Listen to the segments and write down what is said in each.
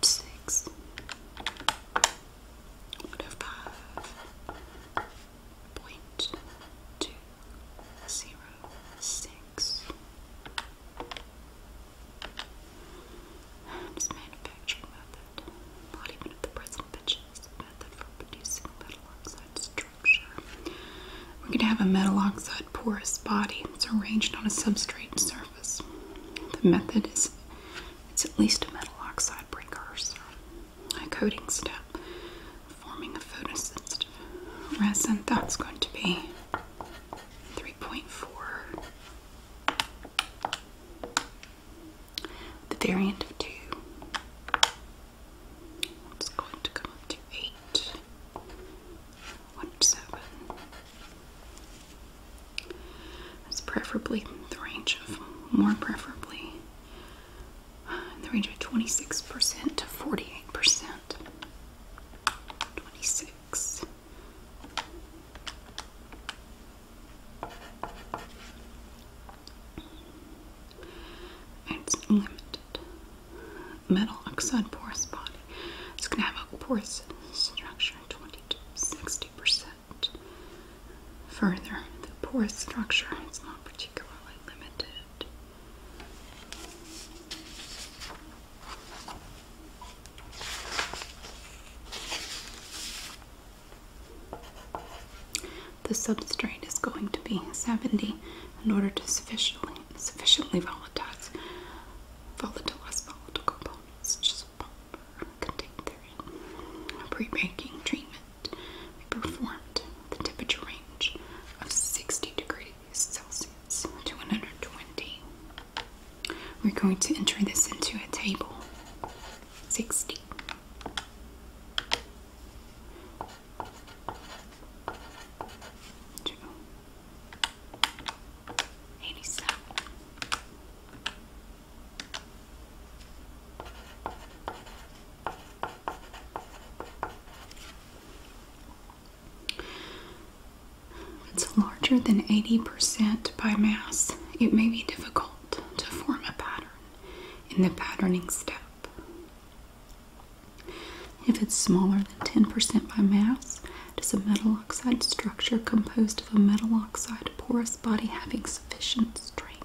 six, one manufacturing method, not even the present method for producing metal oxide structure. We're going to have a metal oxide porous body that's arranged on a substrate surface. The method is it's at least a metal oxide precursor. A coating step, forming a photosensitive resin. That's going to be 3.4. The variant of 2. It's going to come up to 8. 1, 7, it's preferably the range of, more preferably, uh, the range of 26% to 48%. 26. It's limited. Metal oxide porous body. It's going to have a porous structure, 20 to 60%. Further, the porous structure is not particularly limited. The substrate is going to be 70 in order to sufficiently sufficiently volatilize volatile volatile components, contained pre-baking treatment we performed the temperature range of 60 degrees Celsius to 120. We're going to enter this into a table. 60. It's larger than 80% by mass. It may be difficult to form a pattern in the patterning step. If it's smaller than 10% by mass, it is a metal oxide structure composed of a metal oxide porous body having sufficient strength.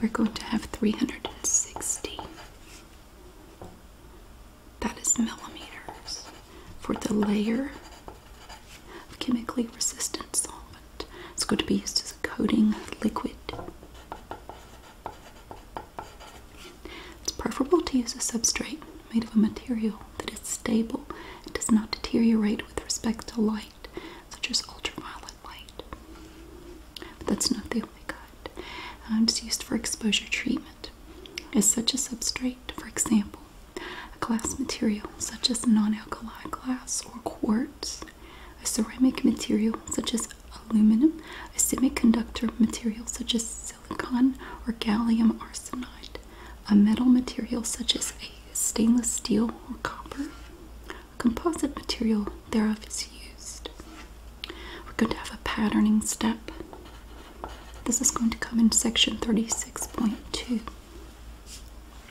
We're going to have 360. That is millimeters for the layer of chemically resistant solvent. It's good to be used as a coating liquid. It's preferable to use a substrate made of a material that is stable and does not deteriorate with respect to light, such as ultraviolet light. But that's not the only kind. Um, it's used for exposure treatment. Is such a substrate, for example, a glass material such as non alkali glass or quartz a ceramic material such as aluminum, a semiconductor material such as silicon or gallium arsenide, a metal material such as a stainless steel or copper, a composite material thereof is used. We're going to have a patterning step. This is going to come in section 36.2.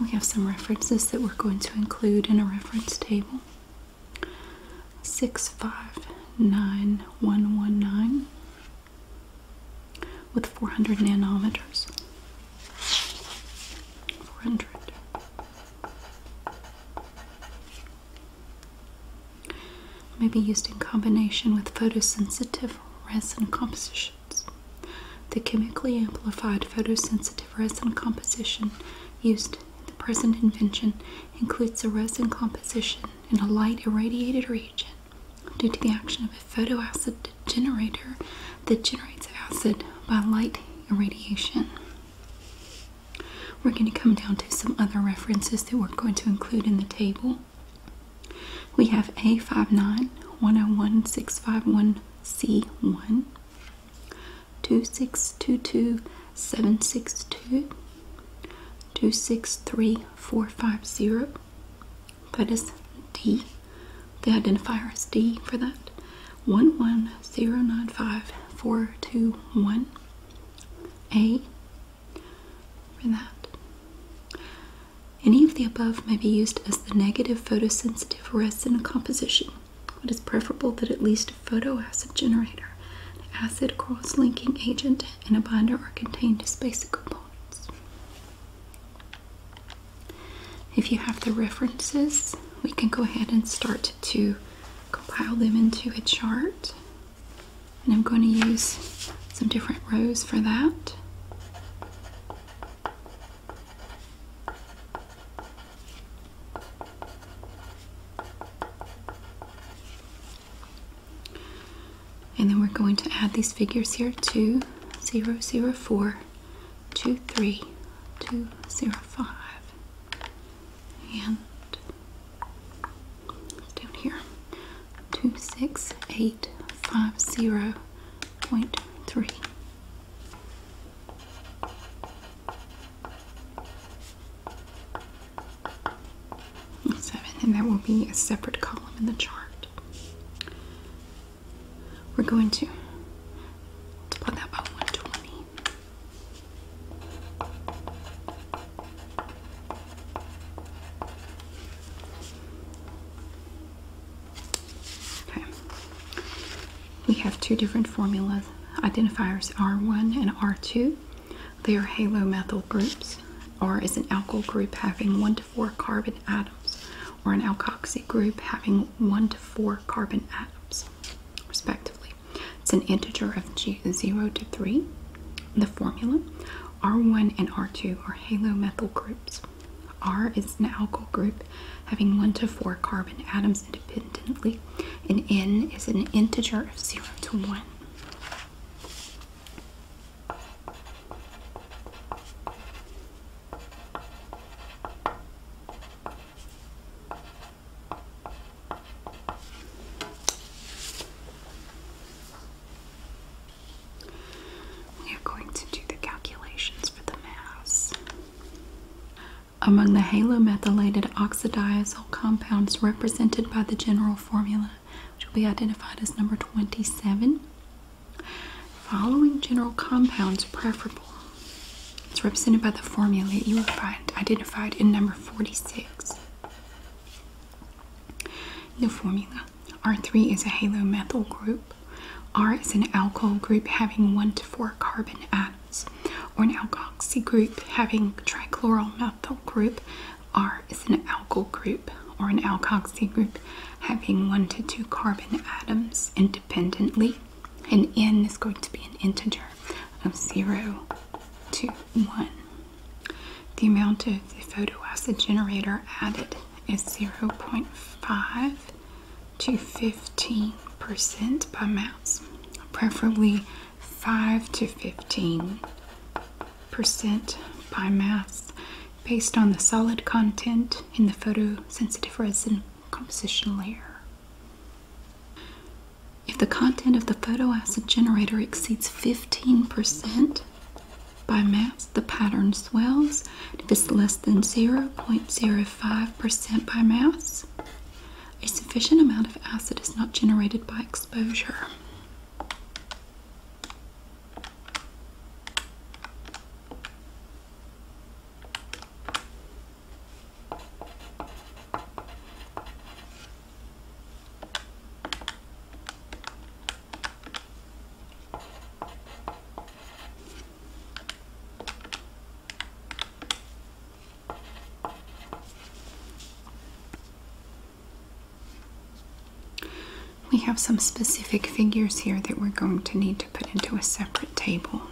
We have some references that we're going to include in a reference table. 659119 with 400 nanometers. 400. May be used in combination with photosensitive resin compositions. The chemically amplified photosensitive resin composition used in the present invention includes a resin composition in a light irradiated region due to the action of a photoacid generator that generates acid by light irradiation. We're going to come down to some other references that we're going to include in the table. We have A59-101-651C1, 2622762, 263450. That is D. The identifier is D for that. 1109541 a for that. Any of the above may be used as the negative photosensitive resin composition. It is preferable that at least a photoacid generator, an acid cross-linking agent, and a binder are contained as basic components. If you have the references, we can go ahead and start to compile them into a chart. And I'm going to use some different rows for that. And then we're going to add these figures here to 4, 2, 3, and down here, 26850.3. and that will be a separate column in the chart. We're going to multiply that by 120. Okay. We have two different formulas identifiers R1 and R2. They are halomethyl groups. R is an alkyl group having 1 to 4 carbon atoms, or an alkoxy group having 1 to 4 carbon atoms, respectively. It's an integer of 0 to 3. The formula R1 and R2 are halomethyl groups. R is an alkyl group having 1 to 4 carbon atoms independently, and N is an integer of 0 to 1. We are going to do the calculations for the mass. Among the halomethylated oxidizole compounds represented by the general formula, which will be identified as number 27, following general compounds preferable it's represented by the formula you will find identified in number 46. The formula R3 is a halomethyl group. R is an alcohol group having 1 to 4 carbon atoms, or an alkoxy group having trichloromethyl group. R is an alkyl group, or an alkoxy group having 1 to 2 carbon atoms independently and n is going to be an integer of 0 to 1. The amount of the photoacid generator added is 0.5 to 15% by mass, preferably 5 to 15% by mass based on the solid content in the photosensitive resin composition layer. If the content of the photoacid generator exceeds 15% by mass, the pattern swells. If it's less than 0.05% by mass, a sufficient amount of acid is not generated by exposure. We have some specific figures here that we're going to need to put into a separate table.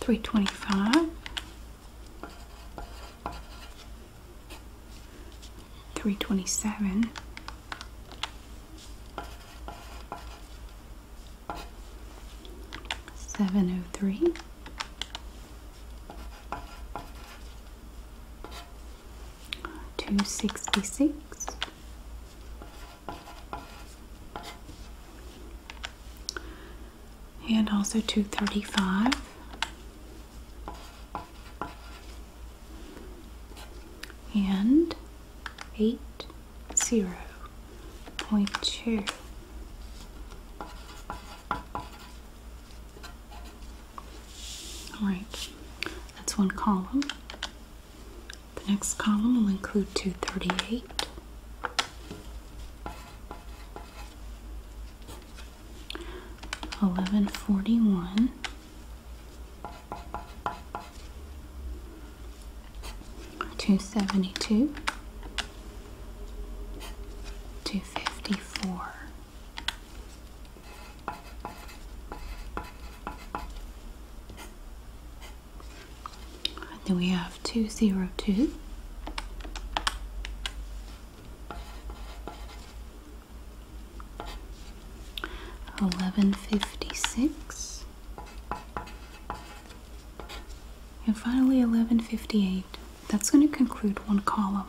three twenty five, three twenty seven. Seven oh 703, 266 and also 235 and 80.2 all right that's one column the next column will include 238. Eleven forty one, two seventy two, two fifty four, and then we have 202. Eleven fifty six, and finally eleven fifty eight. That's going to conclude one column.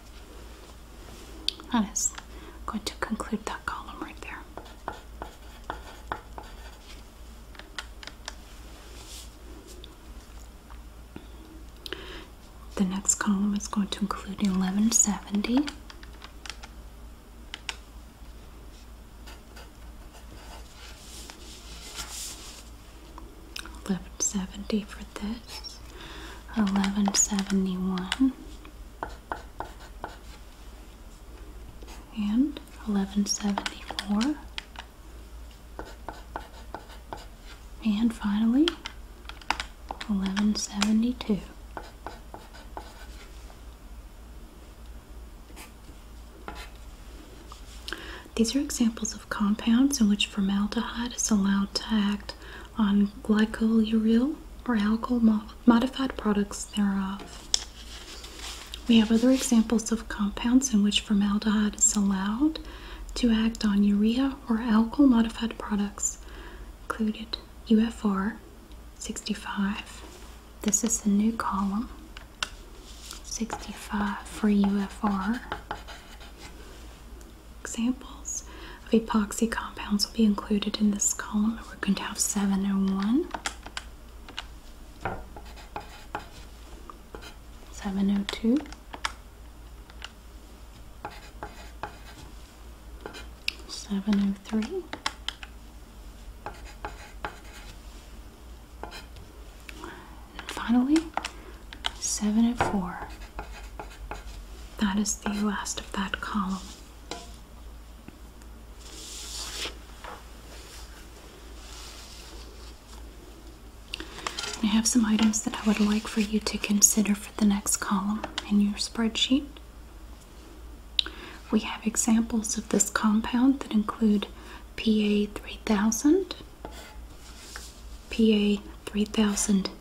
That is going to conclude that column right there. The next column is going to include 1170. Eleven seventy for this, eleven seventy one, and eleven seventy four, and finally eleven seventy two. These are examples of compounds in which formaldehyde is allowed to act on glycoluryl or alkyl modified products thereof. We have other examples of compounds in which formaldehyde is allowed to act on urea or alkyl modified products, included UFR 65. This is the new column 65 for UFR examples of epoxy compounds will be included in this column. We're going to have 701, 702, 703, 704. That is the last of that column. I have some items that I would like for you to consider for the next column in your spreadsheet. We have examples of this compound that include PA 3000, PA 3000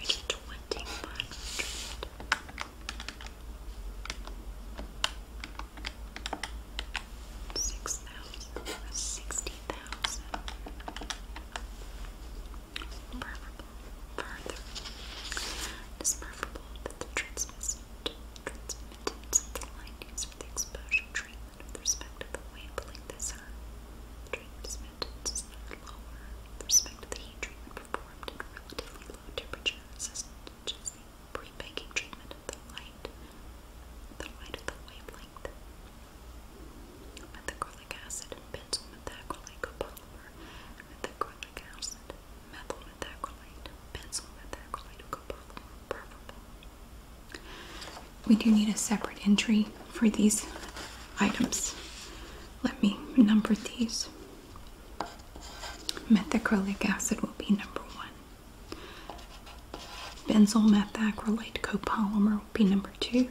It's twenty five Preferable. Further. It is preferable that the transmissive transmittance of the lightnings for the exposure treatment with respect to the wavelength is high treatment is maintenance lower respect the heat treatment performed at relatively low temperature, such pre-baking treatment the light, the light of the wavelength. Methacrylic acid and benzyl methacrylate copolymer, methacrylic acid, methyl methacrylate, benzyl methacrylate copolymer, preferable we do need a separate entry for these items. Let me number these. Methacrylic acid will be number one. Benzyl methacrylate copolymer will be number two.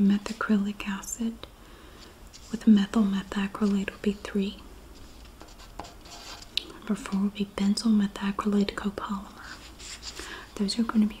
Methacrylic acid with methyl methacrylate will be three. Number four will be benzyl methacrylate copolymer. Those are going to be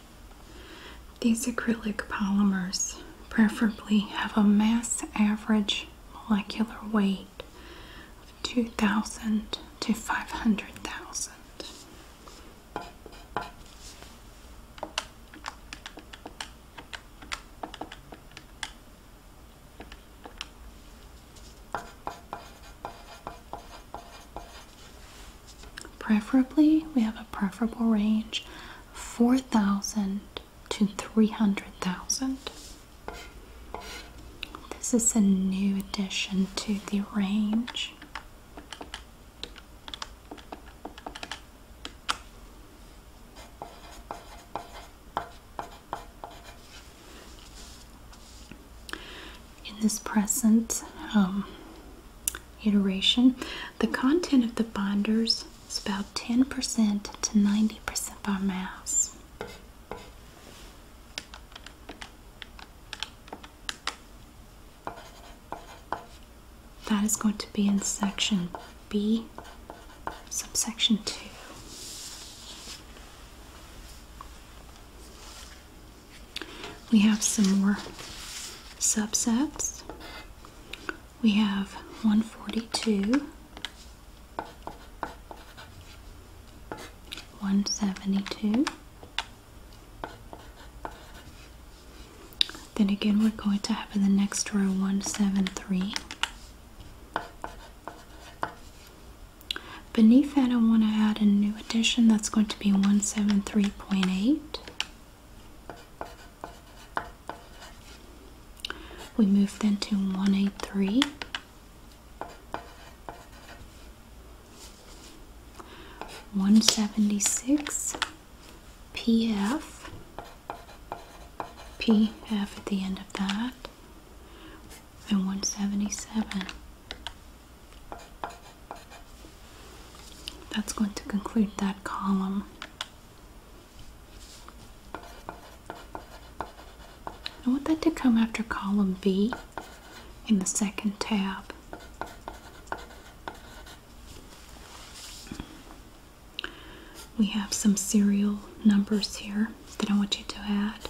These acrylic polymers preferably have a mass average molecular weight of 2,000 to 500,000. Preferably, we have a preferable range 4,000 to 300,000. This is a new addition to the range in this present um, iteration, the content of the binders is about 10% to 90% by mass. That is going to be in section B, subsection 2. We have some more subsets. We have 142, 172. Then again, we're going to have in the next row 173. Beneath that, I want to add a new addition that's going to be 173.8. We move then to 183. One seventy six PF PF at the end of that and one seventy seven that's going to conclude that column. I want that to come after column B in the second tab. We have some serial numbers here that I want you to add.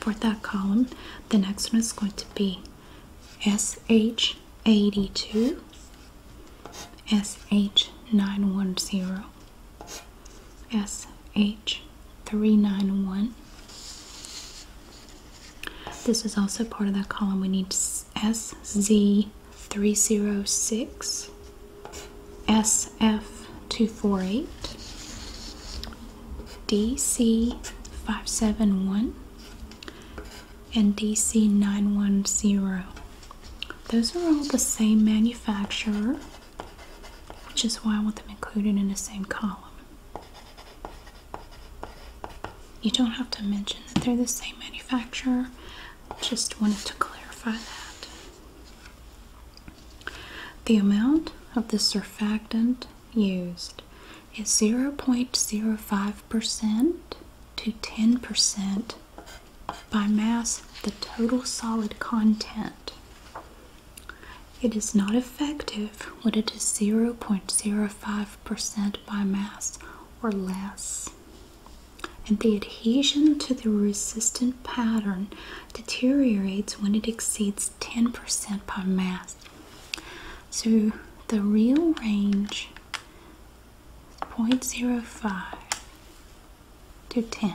for that column. The next one is going to be SH82, SH910, SH391. This is also part of that column. We need SZ306, SF248, DC571 and DC910. Those are all the same manufacturer, which is why I want them included in the same column. You don't have to mention that they're the same manufacturer, just wanted to clarify that. The amount of the surfactant used is 0.05% to 10% by mass the total solid content. It is not effective when it is 0.05% by mass or less. And the adhesion to the resistant pattern deteriorates when it exceeds 10% by mass so the real range is 0.05 to 10.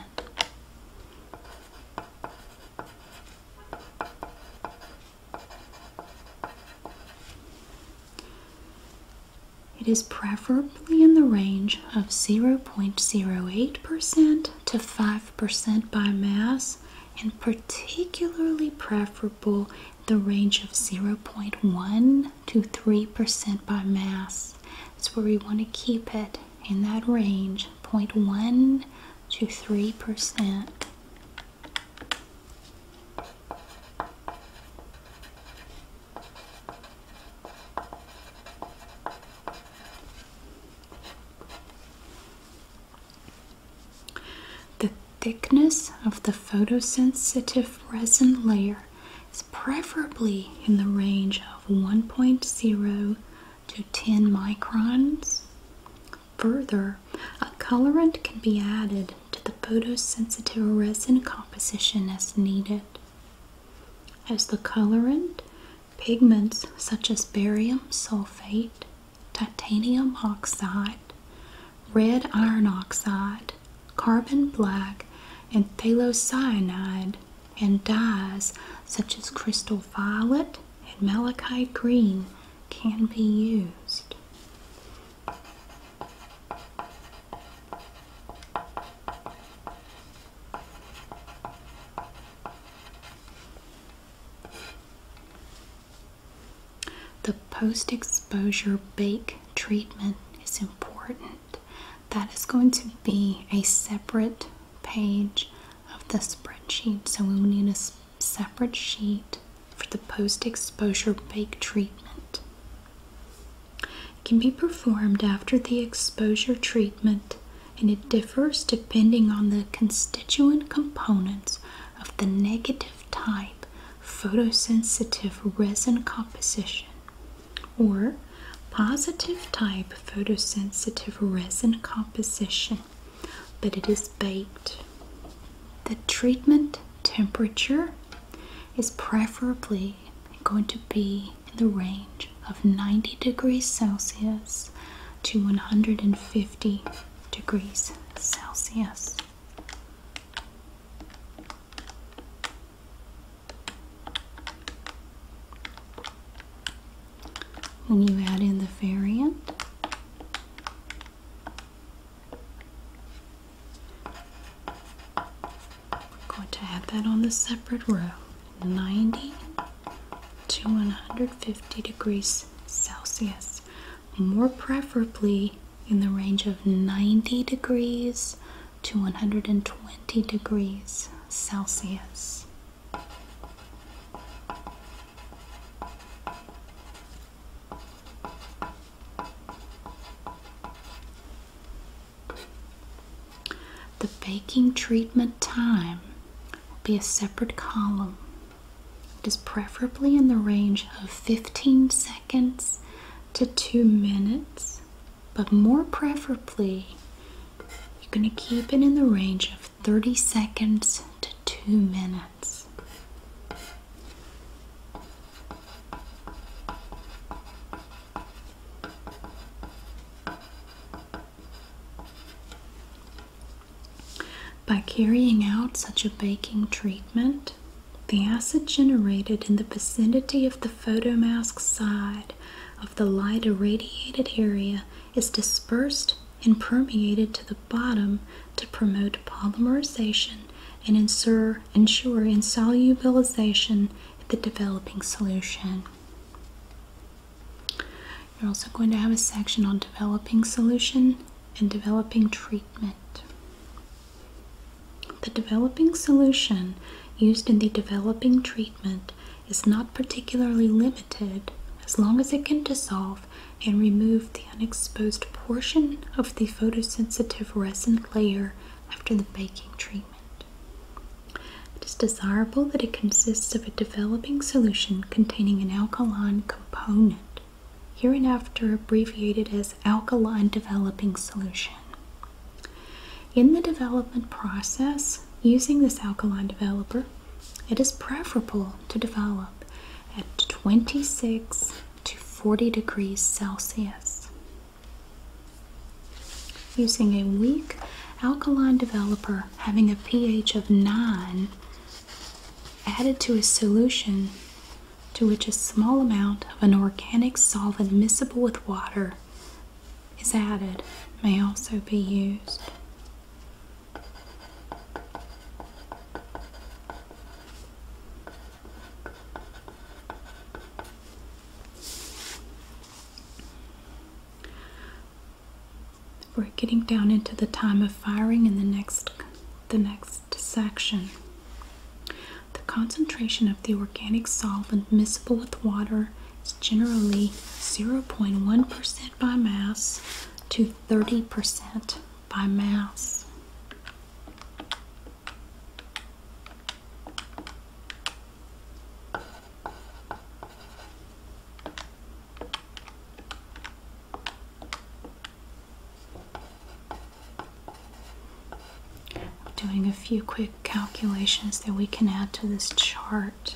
It is preferably in the range of 0.08% to 5% percent by mass and particularly preferable the range of 0.1 to 3% by mass. That's where we want to keep it in that range 0.1 to 3%. The thickness of the photosensitive resin layer is preferably in the range of 1.0 to 10 microns. Further, a colorant can be added to the photosensitive resin composition as needed. As the colorant, pigments such as barium sulfate, titanium oxide, red iron oxide, carbon black, and thalocyanide, and dyes such as crystal violet and malachite green can be used. The post exposure bake treatment is important. That is going to be a separate page of the spreadsheet. So we will need a separate sheet for the post exposure bake treatment. It can be performed after the exposure treatment and it differs depending on the constituent components of the negative type photosensitive resin composition or positive type photosensitive resin composition, but it is baked. The treatment temperature is preferably going to be in the range of 90 degrees Celsius to 150 50 degrees Celsius. When you add in the variant, we're going to add that on the separate row 90 to 150 degrees Celsius, more preferably in the range of 90 degrees to 120 degrees Celsius. The baking treatment time will be a separate column. It is preferably in the range of 15 seconds to 2 minutes, but more preferably, you're going to keep it in the range of 30 seconds to 2 minutes. By carrying out such a baking treatment, the acid generated in the vicinity of the photo mask side of the light irradiated area is dispersed and permeated to the bottom to promote polymerization and ensure insolubilization of the developing solution. You're also going to have a section on developing solution and developing treatment. The developing solution used in the developing treatment is not particularly limited as long as it can dissolve and remove the unexposed portion of the photosensitive resin layer after the baking treatment. It is desirable that it consists of a developing solution containing an alkaline component, hereinafter abbreviated as alkaline developing solution. In the development process, using this alkaline developer, it is preferable to develop at 26 to 40 degrees Celsius. Using a weak alkaline developer having a pH of 9 added to a solution to which a small amount of an organic solvent miscible with water is added may also be used. We're getting down into the time of firing in the next the next section. The concentration of the organic solvent miscible with water is generally 0.1% by mass to 30% by mass. I'm doing a few quick calculations that we can add to this chart.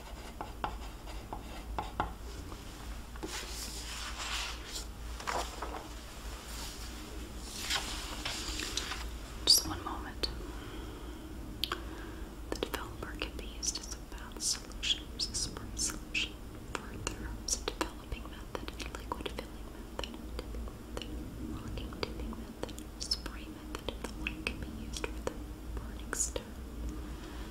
Just one moment. The developer can be used as a bath solution or support solution. Further, it's a developing method, liquid filling method, dipping method, locking dipping method, spray method, the like can be used for the burning stone.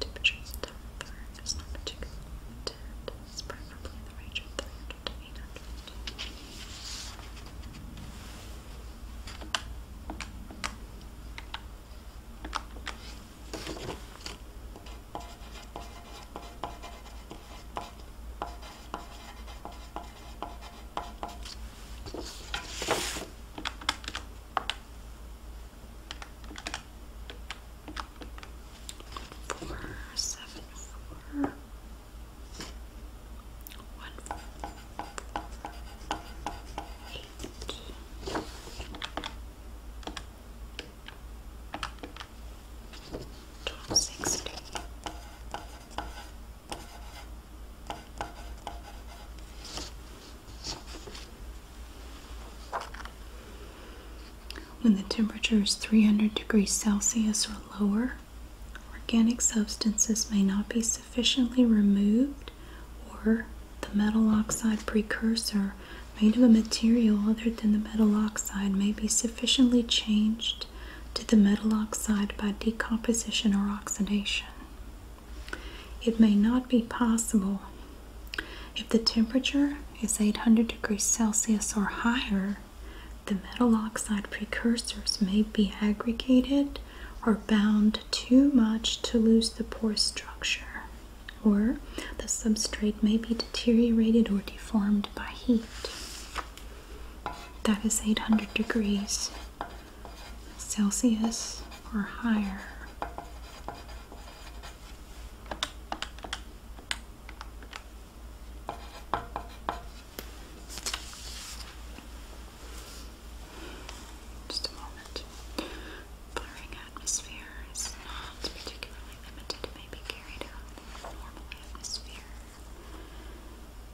Temperature is not particularly limited. It's preferably the range of 300 to Four seven four one four, four eight. Twelve sixty. When the temperature is 300 degrees Celsius or lower, organic substances may not be sufficiently removed, or the metal oxide precursor made of a material other than the metal oxide may be sufficiently changed to the metal oxide by decomposition or oxidation. It may not be possible if the temperature is 800 degrees Celsius or higher, the metal oxide precursors may be aggregated or bound too much to lose the pore structure, or the substrate may be deteriorated or deformed by heat. That is 800 degrees Celsius or higher. Just a moment. Blurring atmosphere is not particularly limited, it carried out in normal atmosphere.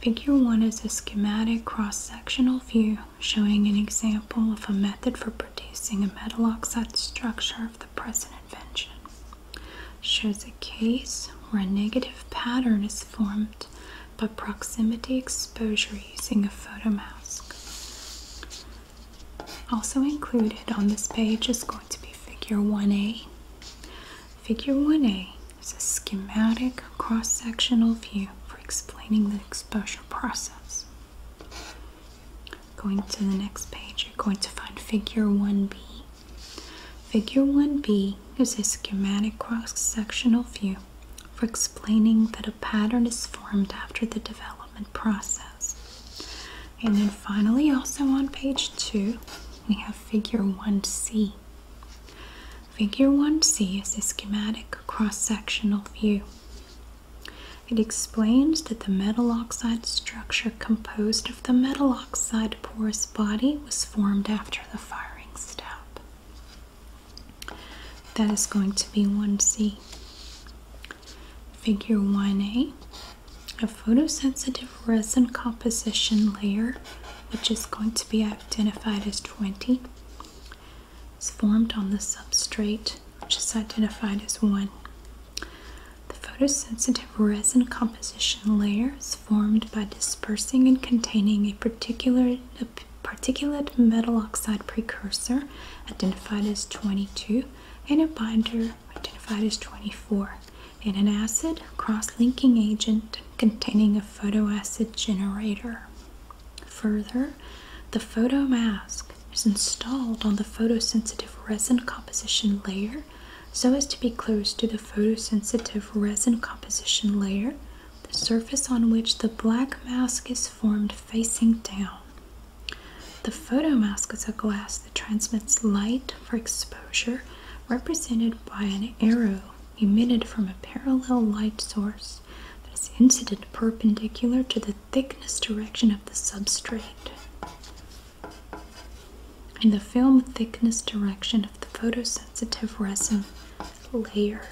Figure 1 is a schematic cross-sectional view showing an example of a method for producing a metal oxide structure of the present invention. Shows a case where a negative pattern is formed by proximity exposure using a photo mask. Also included on this page is going to be figure 1A. Figure 1a is a schematic cross-sectional view for explaining the exposure process. Going to the next page, you're going to find Figure 1b. Figure 1b is a schematic cross-sectional view for explaining that a pattern is formed after the development process. And then finally, also on page 2, we have figure 1c. Figure 1c is a schematic cross-sectional view. It explains that the metal oxide structure composed of the metal oxide porous body was formed after the firing step. That is going to be 1c. Figure 1a a photosensitive resin composition layer, which is going to be identified as 20, is formed on the substrate, which is identified as 1. The photosensitive resin composition layer is formed by dispersing and containing a particular particulate metal oxide precursor, identified as 22, and a binder, identified as 24 and an acid cross-linking agent containing a photoacid generator. Further, the photomask is installed on the photosensitive resin composition layer so as to be close to the photosensitive resin composition layer, the surface on which the black mask is formed facing down. The photomask is a glass that transmits light for exposure, represented by an arrow emitted from a parallel light source that is incident perpendicular to the thickness direction of the substrate. and the film thickness direction of the photosensitive resin layer.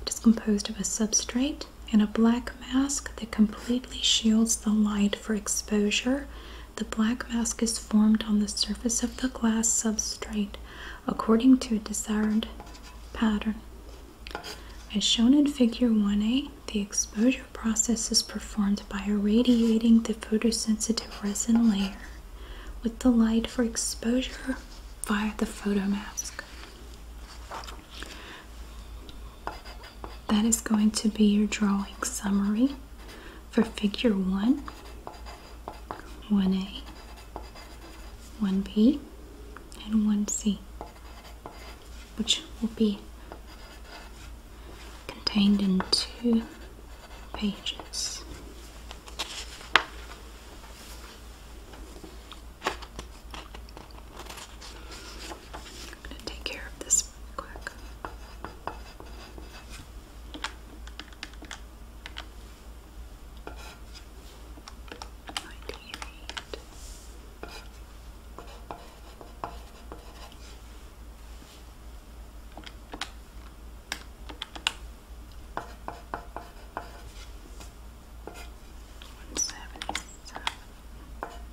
It is composed of a substrate and a black mask that completely shields the light for exposure the black mask is formed on the surface of the glass substrate according to a desired pattern. As shown in Figure 1a, the exposure process is performed by irradiating the photosensitive resin layer with the light for exposure via the photomask. That is going to be your drawing summary for figure 1, 1A, 1B, and 1C, which will be contained in two pages. I'm going to take care of this this really quick. Ninety eight. One seventy seven. One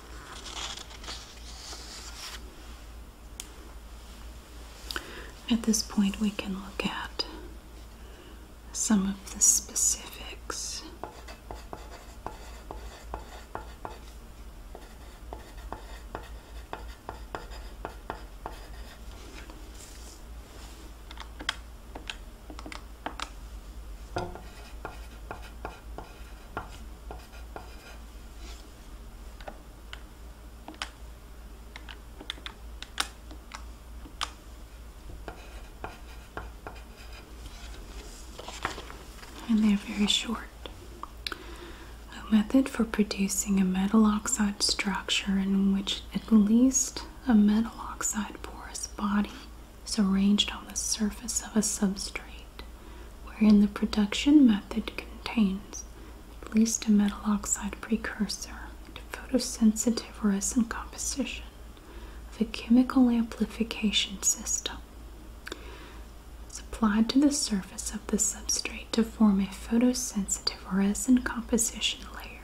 At this point, we can look at some of the specifics and they're very short. A method for producing a metal oxide structure in which at least a metal oxide porous body is arranged on the surface of a substrate wherein the production method contains at least a metal oxide precursor a photosensitive resin composition a chemical amplification system. It's applied to the surface of the substrate to form a photosensitive resin composition layer.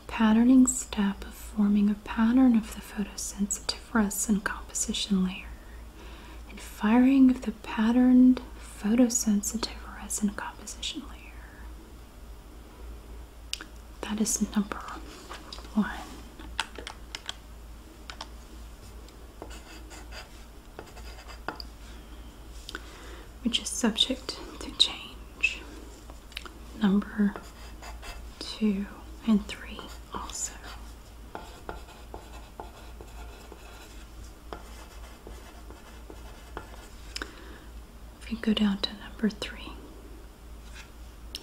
a Patterning step of forming a pattern of the photosensitive resin composition layer and firing of the patterned photosensitive resin composition layer. That is number one. Which is subject to change. Number two and three also. If we go down to number three,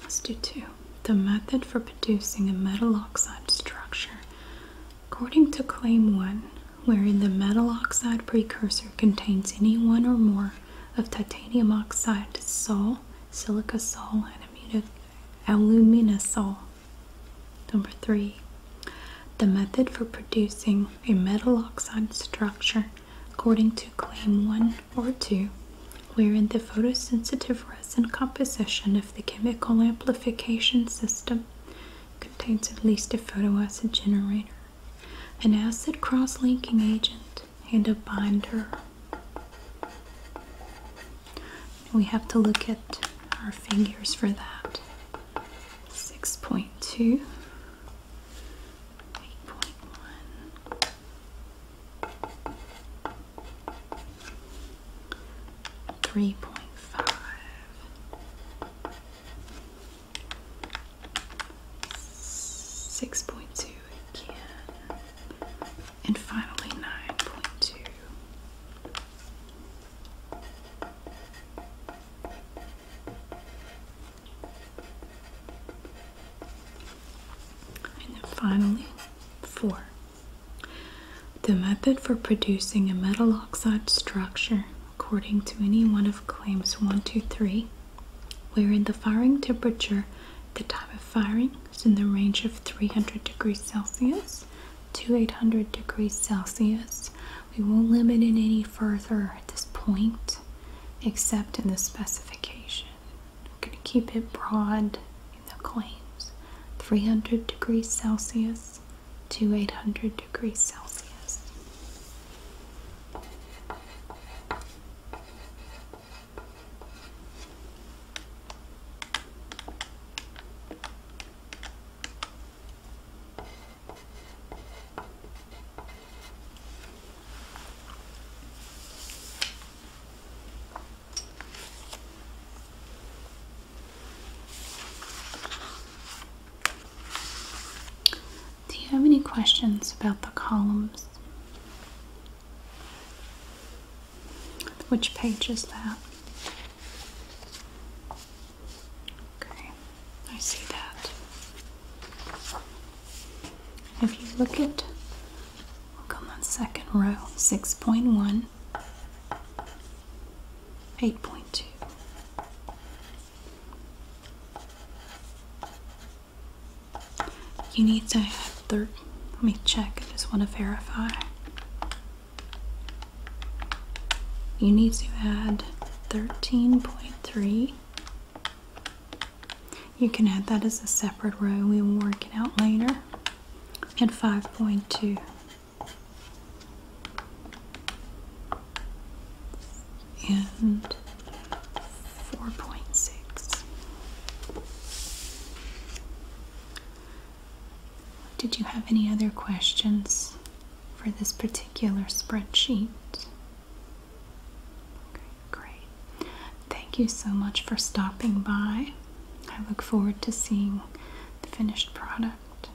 let's do two. The method for producing a metal oxide structure. According to Claim 1, wherein the metal oxide precursor contains any one or more of titanium oxide, sol, silica sol, and aluminosol. Number three, the method for producing a metal oxide structure according to claim one or two, wherein the photosensitive resin composition of the chemical amplification system contains at least a photoacid generator, an acid cross-linking agent, and a binder. We have to look at our figures for that. 6.2, 8.1. Three point five, six point two again, and finally, 9.2. And finally, 4. The method for producing a metal oxide structure according to any one of claims 1 to 3, wherein the firing temperature, the time of firing, is in the range of 300 degrees Celsius to 800 degrees Celsius. We won't limit it any further at this point, except in the specification. I'm going to keep it broad in the claims 300 degrees Celsius to 800 degrees Celsius. Do you have any questions about the columns? Which page is that? Okay, I see that. If you look at, come on second row, 6.1, 8.2. You need to have 13 let me check. I just want to verify. You need to add 13.3. You can add that as a separate row. We will work it out later. And 5.2. And 4.6. Did you have any other questions for this particular spreadsheet? great. Thank you so much for stopping by. I look forward to seeing the finished product.